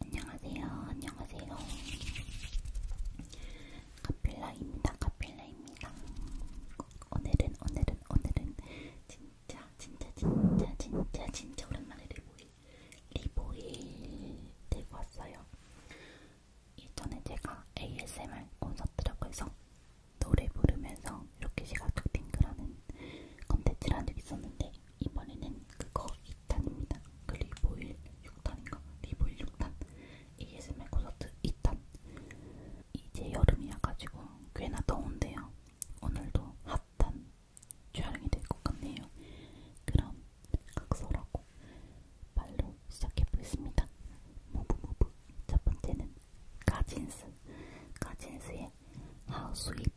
안녕하세요. 안녕하세요. 카필라입니다. 카필라입니다. 오늘은 오늘은 오늘은 진짜 진짜 진짜 진짜 진짜 오랜만에 리보일 리보일 들고 왔어요. 예전에 제가 ASMR 콘서트라고 해서 노래 부르면서 이렇게 시각적 핑크라는 컨텐츠를 한적 있었는데 이번에는 그거 2탄입니다. 그 리보일 6탄인가? 리보일 6탄. ASMR 콘서트 2탄. 이제 여름이라가지고 꽤나 더운데요. 오늘도 핫한 촬영이 될 것 같네요. 그럼 각설하고 말로 시작해보겠습니다. 무브무브. 첫 번째는 가진스. 가진스의 How Sweet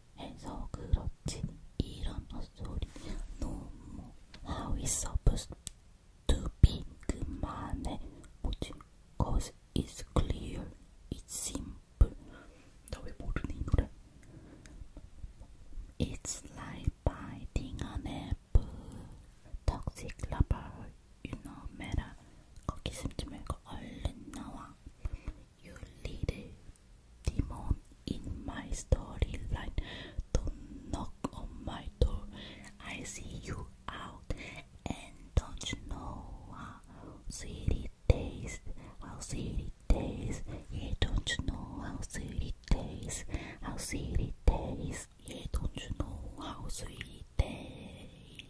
해서 그렇지 이런 헛소리 너무 하위서 부스 두비 그만해 뭐지? Cause it's clear, it's simple 나 왜 모르니 이 노래? It's like biting an apple Toxic lover, you know matter 거기 숨지 말고 얼른 you lead little demon in my storyline. Don't knock on my door. I see you out and don't you know how sweet it tastes? How sweet it tastes? Yeah, don't you know how sweet it tastes? How sweet it tastes? Yeah, don't you know how sweet it tastes?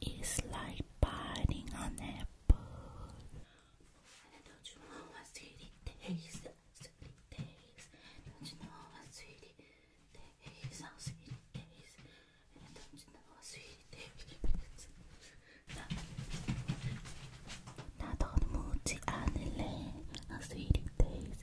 It's like biting an apple. And don't you know sweet it tastes? Sweet tastes. Don't you know what sweet it tastes? How sweet it tastes. And don't you know sweet it tastes? How sweet it tastes.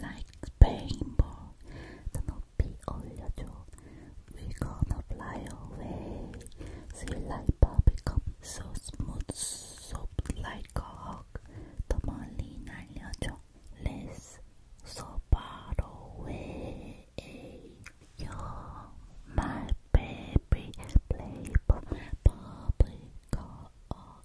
like rainbow. 더 높이 we We're gonna fly away. Sweet like bubblegum, so smooth, soft like a hug. 더 멀리 날려줘. Let's so far away. You're my baby, play bubblegum.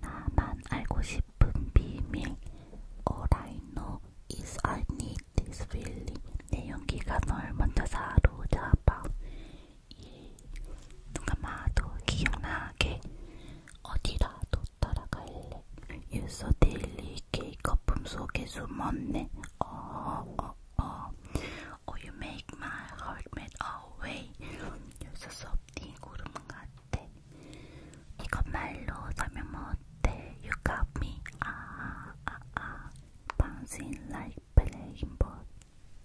나만 알고 싶은 비밀 All I know is I need this feeling 내 연기가 널 먼저 사로잡아 이눈 감아도 기억나게 어디라도 따라갈래 유서 데일리케이 거품 속에 숨었네 어어어 어, 어. Oh you make my heart melt away 유서 섭디 구름같 You got me 아아아 아, 아. Bouncing like playing ball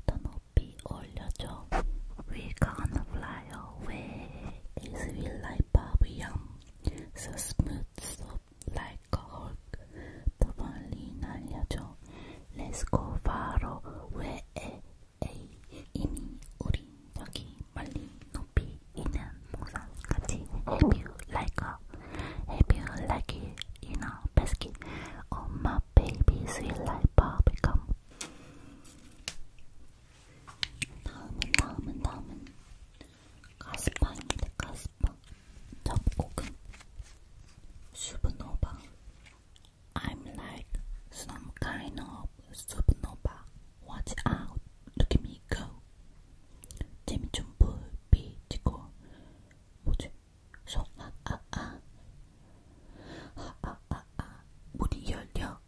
더 높이 올려줘 We gonna fly away It's we like Babylon So smooth, so like a Hulk 더 멀리 날려줘 Let's go far away 에이 이미 우리 여기 멀리 높이 있는 목산 같이 Have you like a Have you like it in a basket Oh my baby sweet like bubblegum 다음은 다음은 다음은 가스파입니다 가스파 접고금 수분노바 I'm like some kind of supernova Watch out! Look at me go! 재미 좀 불비지고 뭐지? 소아아아 아아아아 아, 아, 아, 문이 열려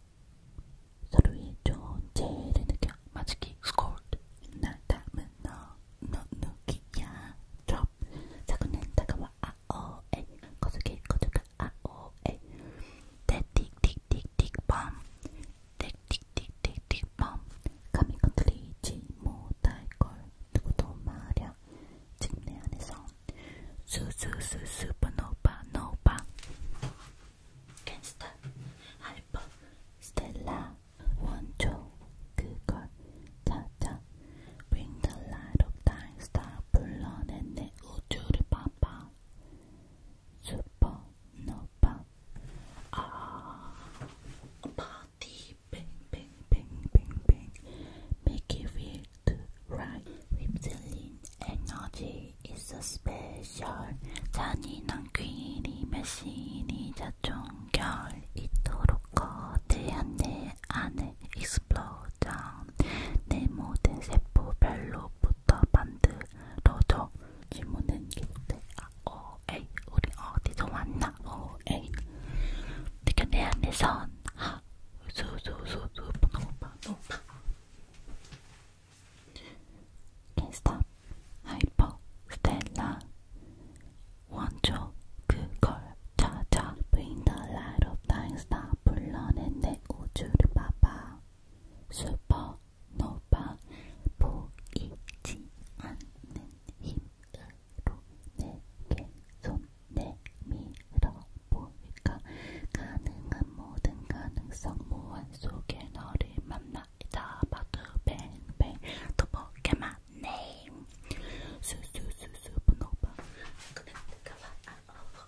서로의 존재를 느껴 마치기 스콜드 날 닮은 너너 누기야 드롭 사고는 다가와 아오에 거슬게 거들가 아오에 틱틱틱틱범 네, 틱틱틱틱틱범 네, 감히 건드리지 못할걸 누구도 말야 지금 내 안에서 수수수수퍼노바 노바 캔스타 알파 스텔라 원조 그걸 찾아 Bring the light of thy star 불러낸 내 우주를 봐봐 슈퍼노바 아 바디 뱅뱅뱅뱅뱅 Make it feel good right 립슬린 에너지 있어 스페셜 잔인한 퀸이 메신이 자종결 이토록 거대한 내 안에 익스플로전 내 모든 세포별로 부터 만들어져 질문은 기대 아, 어, 에이 우리 어디서 왔나 어, 에이 내가 내 안에선 하 수수수수 노파 노파 캔스탑 하이퍼 스텔라 원조 그걸 찾아 Bring the light of thine star 불러낸 내 우주를 봐봐 슈퍼노바 보이지 않는 힘으로 내게 손 내밀어 보일까 가능한 모든 가능성 무한 속에 너를 만나 잡아도 뱅뱅 또 포켓몬 네임 수수수수보노바 그는 내가 말안 아, 어워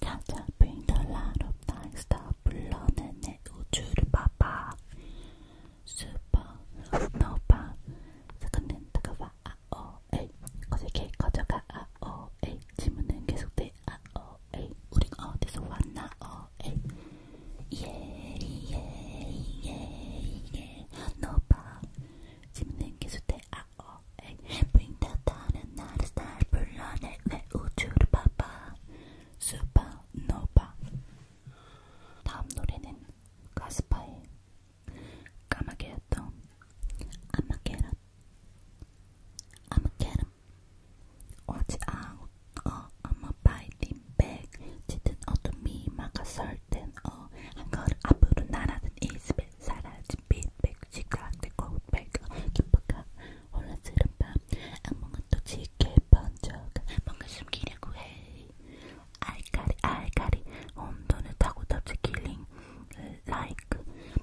찾아 bring a lot of things 다 불러내내 우주를 봐봐 supernova 사건은 다가와 아오에 어색해 커져가 아오에 질문은 계속돼 아오에 우린 어디서 왔나 아오에 예예예예 노바 질문은 계속돼 R.O.A. 어, 빙다다는 나를 날 불러내 내 우주를 봐봐 수바노바 다음 노래는 가스파의 까마귀였던 아마게라 아마게라 오지 아웃 어 아마 파이팅 백 짙은 어둠이 막아설 땐어한 걸음 앞으로 날아든 이스백 사라진 빛백 시각대 꽃백가 김밥가 올라스는 밤 악몽은 또 짙게 번져가 뭔가 숨기려고 해 알까리 알까리 온도는 타고 덮쳐 킬링 like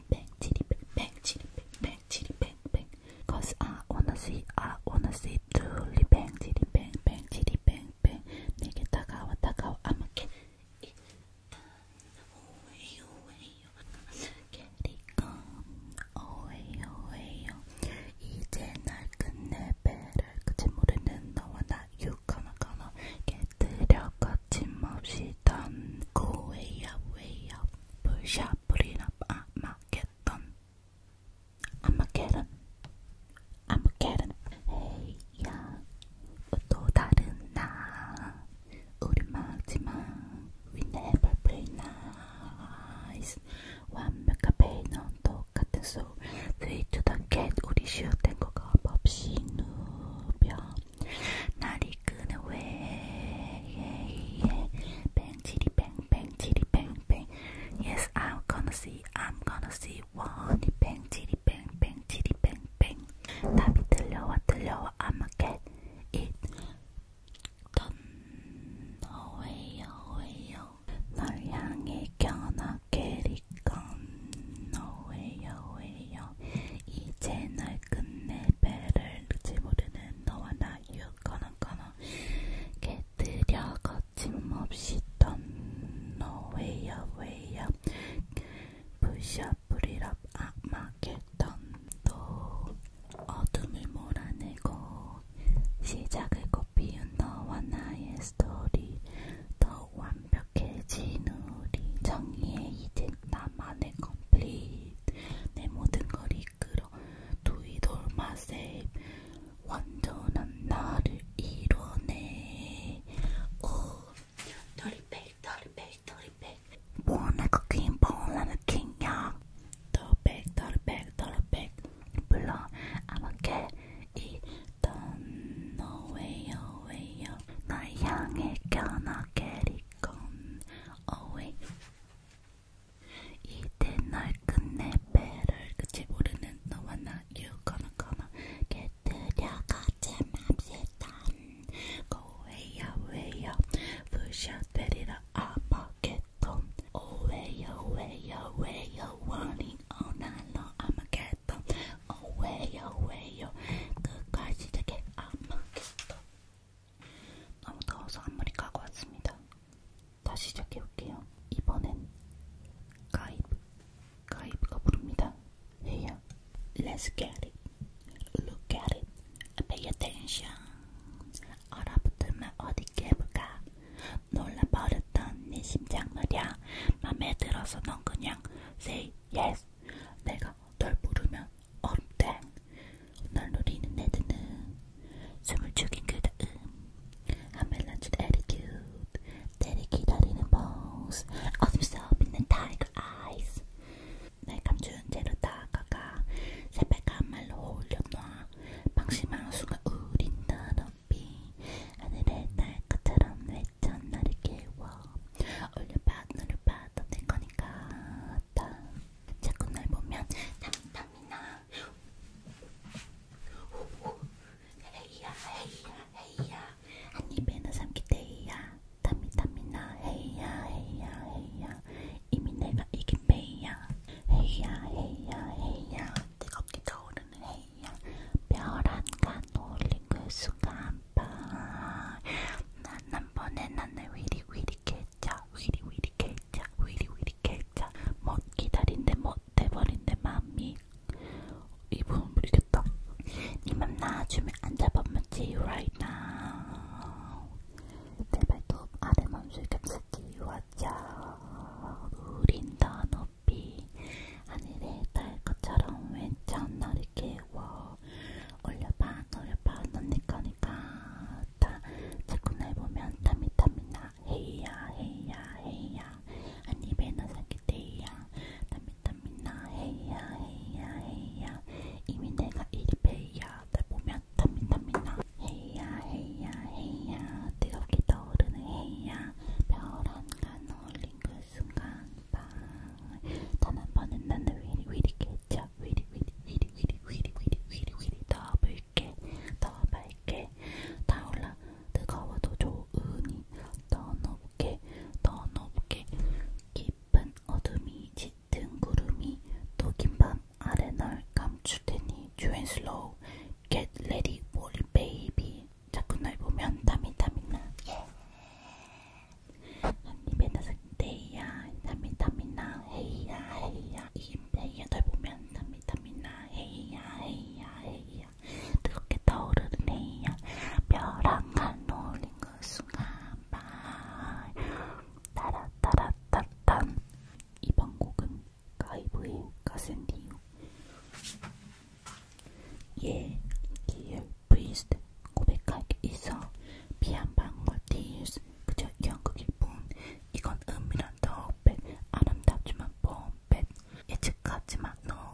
백치리 백백치리 백백치리 백백 cause I wanna see I wanna see 둘리 백치리 백백치리 백백 내게 다가와 다가와 아마게 이제 날 끝내 배를 그치 모르는 너와 나 육하나가나 깨뜨려 거침없이 던고 way up way up 불샷 불이나 아마겟던 아마겟던 아마겟던 헤이야 또 다른 나 우리말지만 We never play nice 완벽한 베이넌 똑같은 소 스위트더캣 우리 쉬어댄 거 겁없이 누벼 날이 끄는 왜 뱅치리 뱅뱅치리 뱅뱅 Yes I'm gonna see I'm gonna see 원이 뱅치리 뱅뱅치리 뱅뱅 답이 들려와 들려와 I'ma get it Don't away, away, 널 향해 겨나게리건 너의 여웨요 이제 널 끝내 배를 늦지 모르는 너와 나 유거나 거나 깨뜨려 거침없이 던 너의 여웨요 부셔 부리랍 악마겟던도 아, 어둠을 몰아내고 시작을 꽃피운 너와 나의 스토리 더 완벽해진 우리 정의에 이제 나만의 컴플릿 내 모든 걸 이끌어 두이돌마세 완전한 나를 이뤄내 오 도리페이 도리페이 도리 뭐 내가 긴 봉을 느끼냐 더백 더백 더백 물론 아마게 이 던너 웨요 웨요 나 향해 껴나게 리건 어웨이 이때 날 끝내 배를 끝이 모르는 너와 나 You gonna gonna get 들려가지 맙시단 고웨요 웨요 부셔 때리러 아마겟돈 오웨요 웨요 웨요 원인 어날로 아마겟돈 오웨요 웨요 끝과 시작해 아마겟돈 너무 더워서 앞머리 까고 왔습니다 다시 시작해볼게요 이번엔 가이브 가이브가 부릅니다 Here, let's get it. Look at it. Pay attention. 얼어붙으면 어디 깨볼까? 놀라버렸던 네 심장 말야. 맘에 들어서 넌 그냥 say yes. 내가 널 부르면 얼음땡. 널 노리는 애들은 숨을 죽인 그다음. 아멜란치 attitude. 때리 기다리는 bones. 어둠 속 빛는 tiger eyes. 내 감추는 채로 다가가 새빨간 말로 올려놔 방심하는 순간 우린 더럽이 하늘에 날 것처럼 외쳐 나를 깨워 올려봐 눈을 봐도 내 거니까 다 자꾸 날 보면 담담이 나 헤이야 헤이야 헤이야 한 입에는 삼키대이야 담미담미나 헤이야 헤이야 헤이야 이미 내가 이긴 베이야 헤이야 헤이야 헤이야 뜨겁게 떠오르는 헤이야 별안간 올린 그 수간파 난 한 번에 난을 위리 위리 캐쳐 위리 위리 캐쳐 위리 위리 캐쳐 못 기다린데 못 돼버린데 맘이 이 부분 모르겠다. 니맘 나주면 안 잡아먹지 right now. 내 발톱 아래 맘술 겹치지 왔자. 우린 더 높이 하늘에 달 것처럼 왼쪽 너를 깨워 올려봐 올려봐 넌내 거니까 다 자꾸 날 보면 땀이 땀이 나 헤이야 헤이야 헤이야 한 입에 너 삼킨 때야 담민담민나 헤이야 헤이야 헤이야 이미 내가 일배야 날 보면 담민담민나 헤이야 헤이야 헤이야 뜨겁게 떠오르는 헤이야 별안간 어울린 그 순간 빵단한 번은 나는 위리 위리 깨져 위리 위리 위리 위리 위리 위리 위리 위리 더 붉게 더 밝게 타올라 뜨거워도 좋아 고은이 더 높게 더 높게 깊은 어둠이 짙은 구름이 독인 밤 아래 널 감출 테니 주앤슬로우 Get ready for it baby 자꾸 널 보면 땀이 땀이 나 예. 한입에 나서 데이야 땀이 땀이 나 헤이야 헤이야 이게 데이야 널 보면 땀이 땀이 나 헤이야 헤이야 헤이야 뜨겁게 타오르는 해야 벼랑 한 올린 그 순간 발 따라따라따딴 이번 곡은 가이브의 가센디오 예, 기어 브이스트 고백하기 있어 피한 방울 디스 그저 연극일 뿐 이건 은밀한 더백 아름답지만 뽐백 예측하지만 너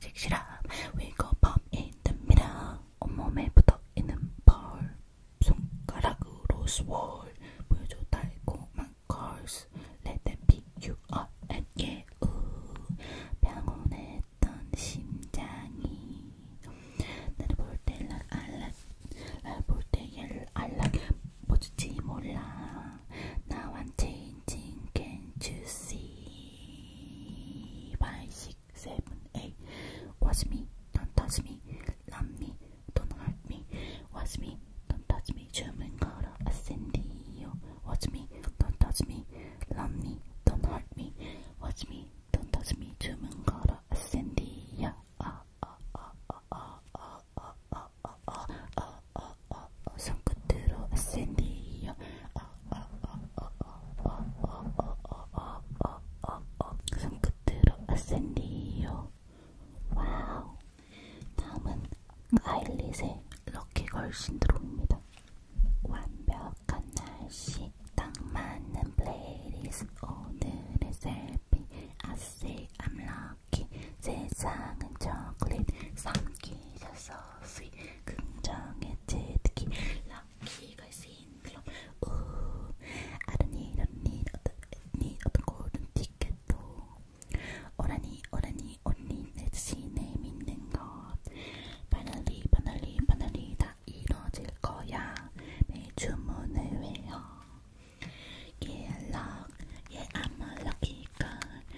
섹시함 위거밤 in the middle 온몸에 붙어있는 펄 손가락으로 스월 보여줘 달콤한 걸스 Let them be you are and yeah 평온했던 심장이 나를 볼때날 알라 나를 볼때 얘를 알라 뭐지 몰라 나한테 can't you see? 5, Watch me, don't touch me. Love me, don't hurt me. Watch me, don't touch me. German God of Ascendio. Watch me, don't touch me. Love me, don't hurt me. Watch me, don't touch me. German God of Ascendia. Ah, ah, 어어어어어어어 손끝으로 샌디요 어어어어어어어어어어어어 손끝으로 샌디요 와우 다음은 아일릿의 럭키걸 신드롬입니다 완벽한 날씨 딱 맞는 플레이리스 오늘의 셀피 I say I'm lucky 세상은 초콜릿 삼키셨어 쓰인 긍정의 제 특히 럭키가 쓰인 플럼 우 아르니 런니 어떤 니 어떤 골든 티켓도 오라니 오라니 언니 내 자신에 믿는 것 바늘리 바늘리 바늘리 다 이뤄질 거야 매주 문을 외워 Yeah, luck, yeah, I'm a lucky girl.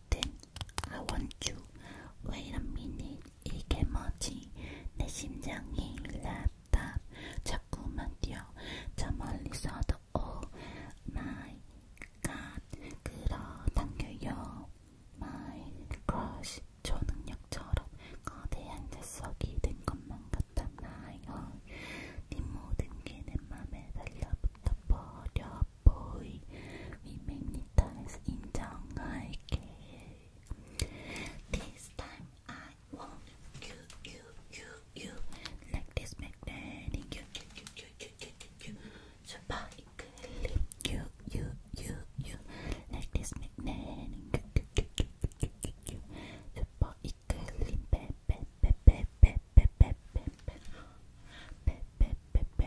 waiting. I want you. Wait a minute. 이게 뭐지? 내 심장이 랩답. 자꾸만 뛰어. 저 멀리서도 oh my god. 끌어당겨요. My crush. 초능력처럼 거대한 자석이 된 것만 같아. 나요. 네 모든 게내 맘에 달라붙어 버려. boy we magnetize in down like This time I want you, you, you, you like this magnetic you, you, you, you, you, you, you, you. Super you, you, you, you like this magnetic you, you, you, you, you, you, you. Super Pe, pe, pe, pe, pe, pe, pe, pe, pe, pe, pe, pe,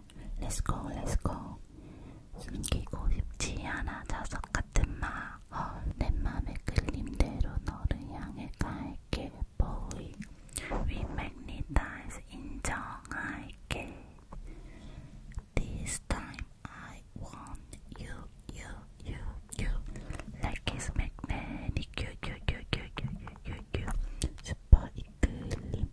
Let's go, let's go. 숨기고 싶지 않아 자석 같은 마. 내 맘의 끌림대로 너를 향해 갈게, boy. We magnetize 인정할게. This time I want you, you, you, you. Like it's magnetic, you, you, you, you, you, you, you, you. 슈퍼 이끌림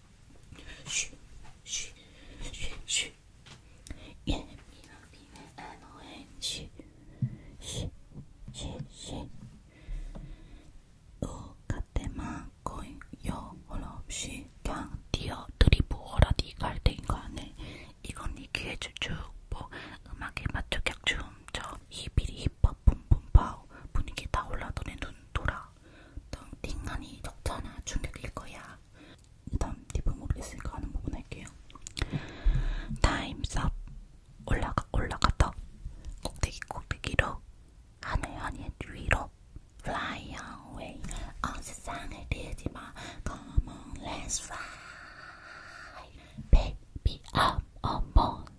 嘘嘘嘘嘘예민한 비는 NONG 쉬쉬쉬 똑같대만 거의 여월 없이 그냥 뛰어 드리브어라디 갈대인거 안에 이건 니 귀에 주축 뭐 음악에 맞춰 격춤 저 히비리 힙합 붐붐 파우 분위기 다 올라더니 눈 돌아 덩팅하니 적잖아 충격일 거야. 다음 팁은 모르겠으니까 하는 부분 할게요. 타임스업 올라가 올라가 떠 꼭대기 꼭대기로 하늘 하늘 위로 fly away 어 세상을 뛰지 마 come on let's fly baby I'm almost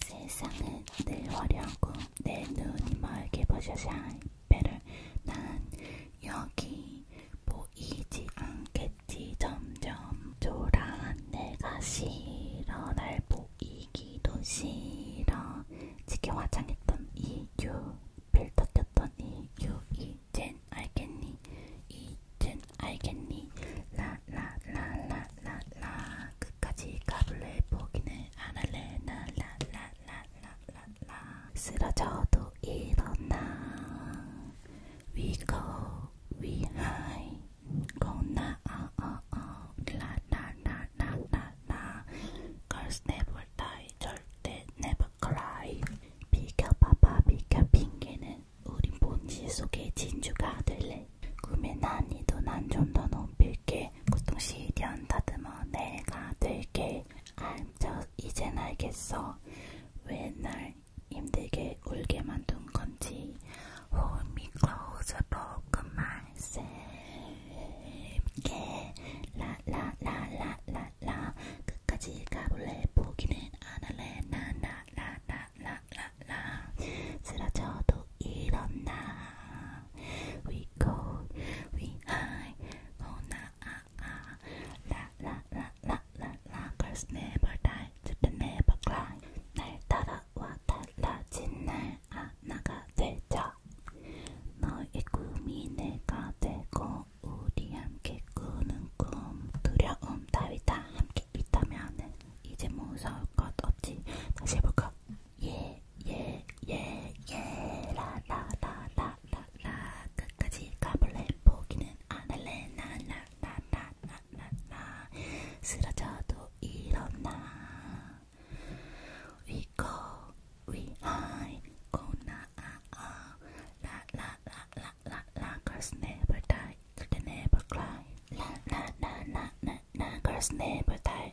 세상은 늘 화려하고 내 눈이 멀게 보셔서 better 난 여기 보이지 않겠지 점점 돌아한 내가 싫어 날 보이기도 싫어 지게 화장했던 이유 필터 꼈던 이유 이젠 알겠니 이젠 알겠니 라 라 라 라 라라 끝까지 가볼래 보기는 안 할래 라라라라라라 쓰러져도 일어나 We go, we high Go now, oh oh 라라라라라라 Girls never die, 절대 never cry 비켜봐봐 비켜 핑계는 우린 본질 속의 진주가 될래 꿈의 난이도 난 좀 더 높일게 고통시련 그 다듬어 내가 들게 알저 이젠 알겠어 왜날 힘들게 울게 만든 건지 Hold me close broken myself 그 yeah. 라라라라라라 끝까지 가볼래 포기는 안할래 나나나나나나라 쓰러져도 일어나 We go, we high, 너나 아아 라라라라라라 Girls never die, children never cry 날 따라와 달라진 날 하나가 되자 너의 꿈이 내가 되고 우리 함께 꾸는 꿈 두려움 따위 다 함께 있다면 이제 무서울 것 없지 다시 해볼까 예, 예, 예, 예, 라, 라, 라, 라, 라, 라. 끝까지 가볼래? 포기는 안 나, 나, 나, 나, 나, 나, 쓰러져도 일어나. We go, we high, go na, ah, ah. La, la, la, la, la, la, never die, never cry. La, la, la, la, la, la, never die.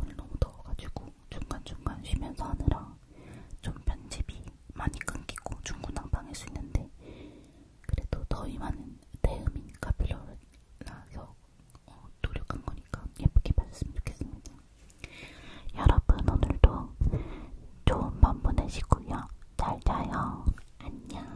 오늘 너무 더워가지고 중간중간 쉬면서 하느라 좀 편집이 많이 끊기고 중구난방일 수 있는데 그래도 더위 많은 대음이니까 빌려라서 어, 노력한 거니까 예쁘게 봐줬으면 좋겠습니다. 여러분 오늘도 좋은 밤 보내시고요. 잘 자요. 안녕.